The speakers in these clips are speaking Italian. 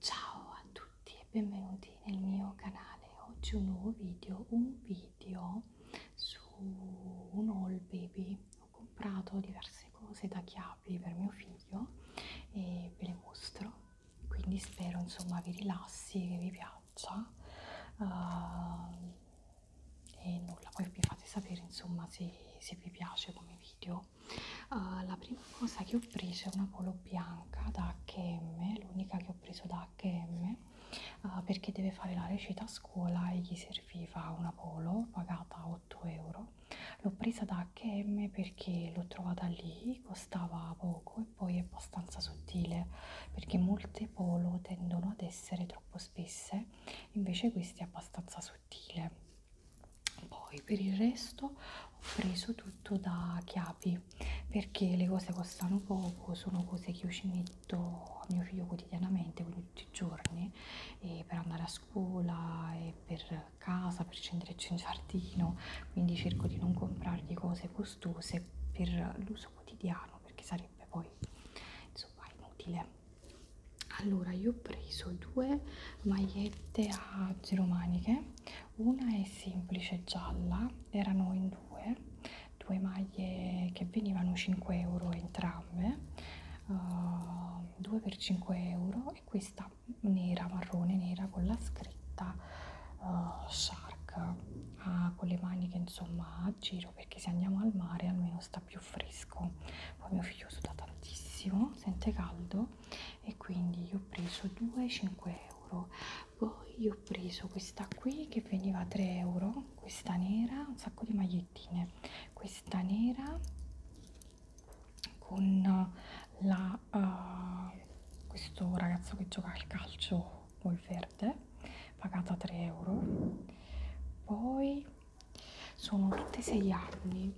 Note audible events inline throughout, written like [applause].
Ciao a tutti e benvenuti nel mio canale. Oggi un nuovo video, un video su un all baby. Ho comprato diverse cose da chiavi per mio figlio e ve le mostro. Quindi spero insomma vi rilassi, che vi piaccia. Uh, e nulla, poi vi fate sapere insomma se, se vi piace come video. Uh, la prima cosa che ho preso è una polo bianca da HM, l'unica che ho preso da HM uh, perché deve fare la recita a scuola e gli serviva una polo pagata 8 euro. L'ho presa da HM perché l'ho trovata lì, costava poco e poi è abbastanza sottile perché molte polo tendono ad essere troppo spesse grande invece questo è abbastanza sottile poi per il resto ho preso tutto da chiavi perché le cose costano poco sono cose che io ci metto a mio figlio quotidianamente quindi tutti i giorni e per andare a scuola e per casa per scenderci in giardino quindi cerco di non comprargli cose costose per l'uso quotidiano perché sarebbe poi insomma inutile allora io ho preso due magliette a giro maniche una è semplice gialla erano in due due maglie che venivano 5 euro entrambe uh, due per 5 euro e questa nera marrone nera con la scritta uh, shark ah, con le maniche insomma a giro perché se andiamo al mare almeno sta più fresco poi mio figlio suda tantissimo sente caldo e quindi io ho preso 2,5 euro poi io ho preso questa qui che veniva a 3 euro questa nera un sacco di magliettine questa nera con la uh, questo ragazzo che gioca al calcio col verde pagata 3 euro poi sono tutte 6 anni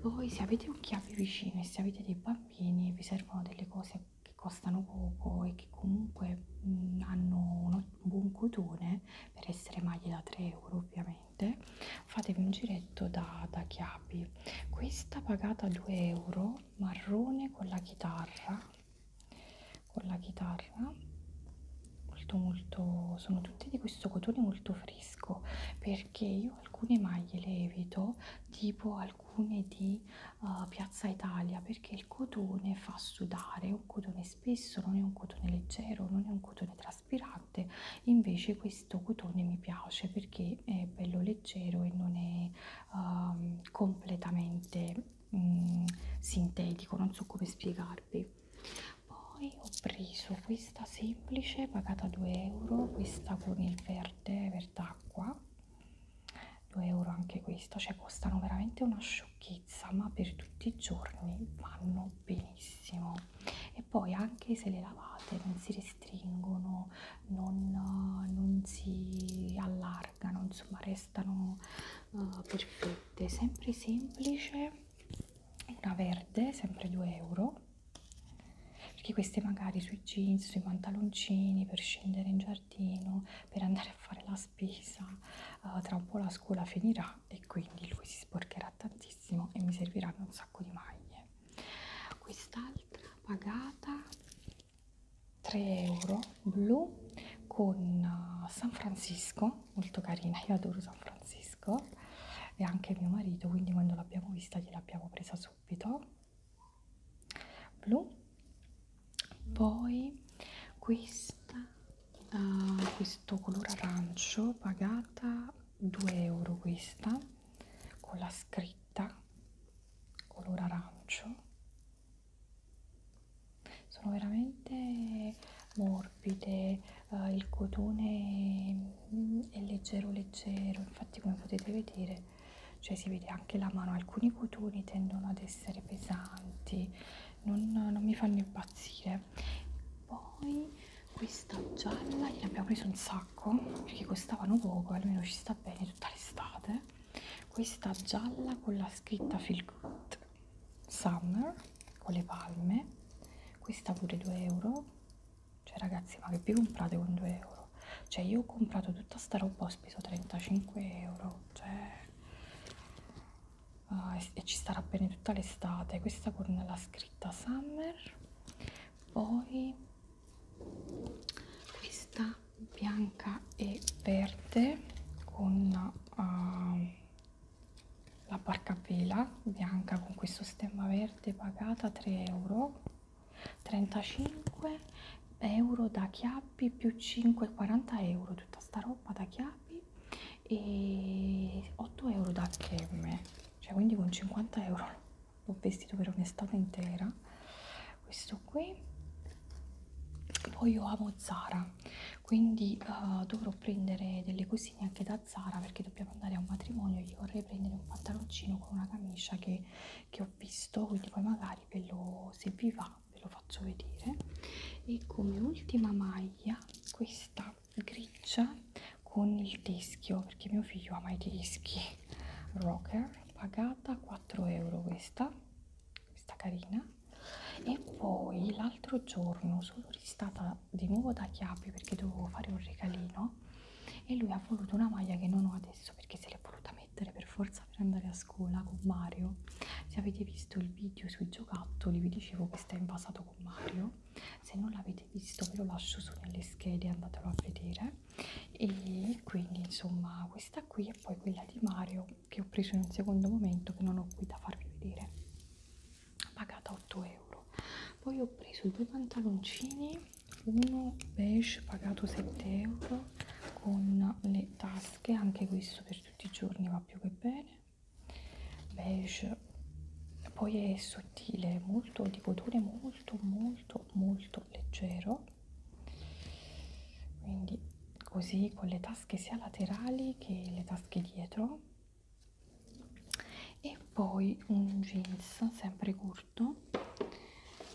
poi se avete un chiave vicino e se avete dei bambini e vi servono delle cose che costano poco e che comunque mh, mm, hanno un buon cotone per essere maglie da 3 euro ovviamente fatevi un giretto da, da chiavi questa pagata 2 euro marrone con la chitarra con la chitarra molto molto sono tutte di questo cotone molto fresco perché io alcune maglie le evito tipo alcune di uh, piazza italia perché il cotone fa sudare è un cotone spesso non è un cotone leggero non è un cotone traspirante invece questo cotone mi piace perché è bello leggero e non è uh, completamente mm, sintetico, non so come spiegarvi. Poi ho preso questa semplice, pagata 2 euro, questa con il verde, verd'acqua, 2 euro anche questa, cioè costano veramente una sciocchezza, ma per tutti i giorni vanno benissimo. E poi anche se le lavate non si restringono, non, non si allargano allargano, insomma restano uh, perfette, sempre semplice, una verde, sempre 2 euro, perché queste magari sui jeans, sui pantaloncini, per scendere in giardino, per andare a fare la spesa, uh, tra un po' la scuola finirà e quindi lui si sporcherà tantissimo e mi serviranno un sacco di maglie. Quest'altra pagata 3 euro blu con eh, San Francisco, molto carina, io adoro San Francisco e anche mio marito, quindi quando l'abbiamo vista gliel'abbiamo presa subito. Blu, poi questa, uh, questo colore arancio, pagata 2 euro questa, con la scritta colore arancio sono veramente morbide uh, il cotone è leggero leggero infatti come potete vedere cioè si vede anche la mano alcuni cotoni tendono ad essere pesanti non, non mi fanno impazzire poi questa gialla gliene abbiamo preso un sacco perché costavano poco almeno ci sta bene tutta l'estate questa gialla con la scritta feel good Summer con le palme, questa pure 2 euro. Cioè, ragazzi, ma che vi comprate con 2 euro? Cioè, io ho comprato tutta sta roba, ho speso 35 euro. Cioè, uh, e, e ci starà bene tutta l'estate. Questa con la scritta Summer, poi questa bianca e verde con uh, la barca vela bianca con questo stemma verde pagata 3 euro 35 euro da chiappi più 5 40 euro tutta sta roba da chiappi e 8 euro da HM cioè quindi con 50 euro l'ho vestito per un'estate intera questo qui poi io amo Zara quindi uh, dovrò prendere delle cosine anche da Zara perché dobbiamo andare a un matrimonio io vorrei prendere un pantaloncino con una camicia che, che ho visto quindi poi magari ve lo, se vi va ve lo faccio vedere e come ultima maglia questa grigia con il teschio perché mio figlio ama i teschi rocker pagata 4 euro questa questa carina e poi l'altro giorno sono ristata di nuovo da Chiapi perché dovevo fare un regalino e lui ha voluto una maglia che non ho adesso perché se l'è voluta mettere per forza per andare a scuola con Mario se avete visto il video sui giocattoli vi dicevo che sta invasato con Mario se non l'avete visto ve lo lascio su nelle schede andatelo a vedere e quindi insomma questa qui e poi quella di Mario che ho preso in un secondo momento che non ho qui da farvi vedere ho pagato 8 euro poi ho preso due pantaloncini uno beige pagato 7 euro con le tasche anche questo per tutti i giorni va più che bene beige poi è sottile molto di cotone molto molto molto leggero quindi così con le tasche sia laterali che le tasche dietro e poi un jeans sempre corto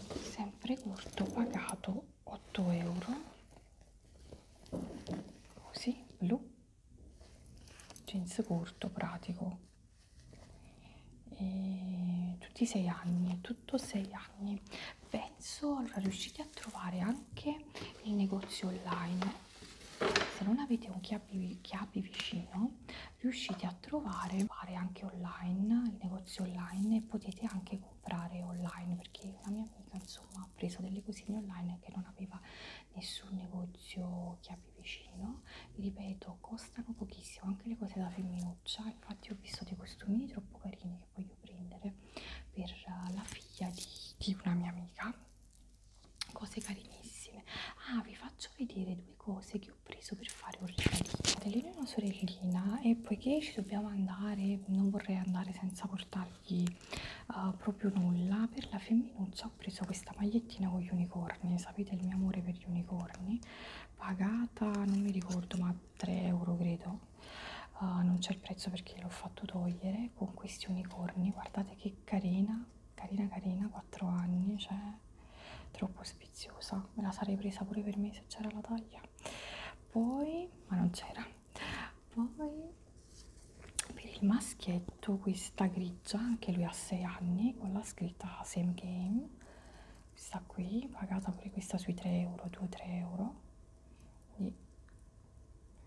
sempre corto pagato 8 euro così blu jeans corto pratico e tutti i sei anni tutto sei anni penso allora riuscite a trovare anche nei negozi online se non avete un chiabi, chiabi vicino riuscite a trovare anche online il negozio online e potete anche comprare online perché la mia amica insomma ha preso delle cosine online che non aveva nessun negozio chiabi vicino vi ripeto costano pochissimo anche le cose da femminuccia infatti ho visto dei costumini troppo carini che voglio prendere per la figlia di, di una mia amica cose carinissime ah vi faccio vedere due cose che ho preso per fare un regalino lei è una sorellina e poiché ci dobbiamo andare non vorrei andare senza portargli uh, proprio nulla per la femminuccia ho preso questa magliettina con gli unicorni sapete il mio amore per gli unicorni pagata non mi ricordo ma 3 euro credo uh, non c'è il prezzo perché l'ho fatto togliere con questi unicorni guardate che carina carina carina 4 anni cioè troppo spiziosa me la sarei presa pure per me se c'era la taglia poi ma non c'era poi per il maschietto questa grigia anche lui ha 6 anni con la scritta same game questa qui pagata pure questa sui 3 euro 2-3 euro quindi,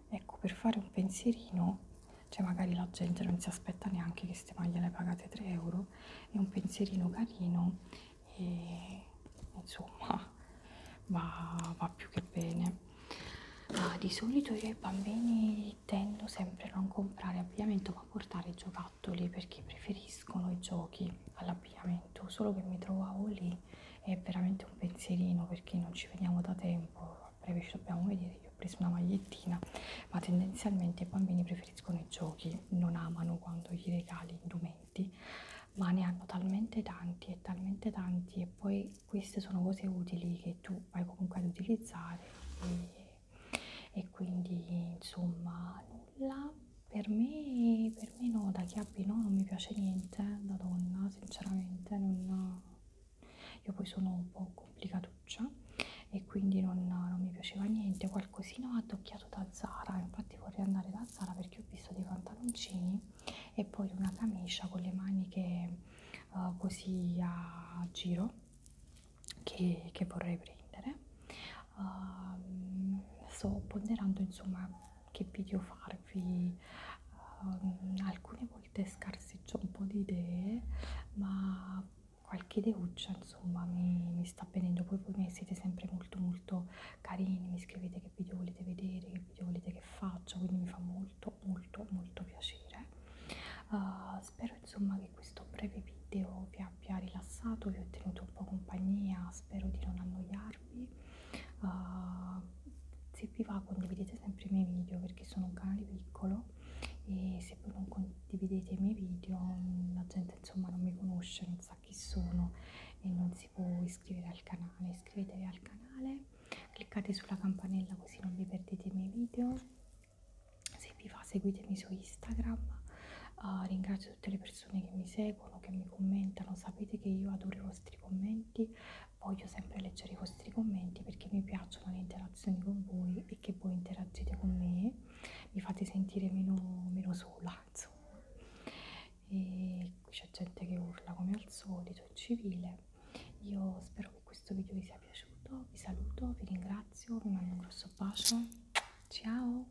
ecco, per fare un pensierino, cioè magari la gente non si aspetta neanche che ste maglie le pagate 3 euro, è un pensierino carino e insomma [laughs] va, va più che bene. Ah, di solito io ai bambini tendo sempre a non comprare abbigliamento ma a portare giocattoli perché preferiscono i giochi all'abbigliamento letto, solo che mi trovavo lì è veramente un pensierino perché non ci vediamo da tempo, a breve ci dobbiamo vedere, io ho preso una magliettina, ma tendenzialmente i bambini preferiscono i giochi, non amano quando gli regali indumenti, ma ne hanno talmente tanti e talmente tanti e poi queste sono cose utili che tu vai comunque ad utilizzare e, e quindi insomma nulla per me, per me no, da chi abbino non mi piace niente eh, da donna, sinceramente non, io poi sono un po' complicatuccia e quindi non, non mi piaceva niente, qualcosina ho addocchiato da Zara, infatti vorrei andare da Zara perché ho visto dei pantaloncini e poi una camicia con le maniche uh, così a giro che, che vorrei prendere uh, sto ponderando insomma che video farvi um, alcune volte scarseggio un po' di idee ma qualche ideuccia insomma mi, mi sta venendo poi voi siete sempre molto molto carini mi scrivete che video volete vedere che video volete che faccia quindi mi fa molto molto molto piacere uh, spero insomma che questo breve video vi abbia abbia rilassato, vi ho tenuto un po' compagnia, spero di non annoiarvi. Uh, se vi va condividete sempre i miei video perché sono un canale piccolo e se voi non condividete i miei video la gente insomma non mi conosce, non sa chi sono e non si può iscrivere al canale. Iscrivetevi al canale, cliccate sulla campanella così non vi perdete i miei video. Se vi va seguitemi su Instagram. Uh, ringrazio tutte le persone persone che mi seguono, che mi commentano, sapete che io adoro i vostri commenti, voglio sempre leggere i vostri commenti perché mi piacciono le interazioni con voi e che voi interagite con me, mi fate sentire meno, meno sola, insomma. E qui c'è gente che urla come al solito, è civile. Io spero che questo video vi sia piaciuto, vi saluto, vi ringrazio, vi mando un grosso bacio, ciao!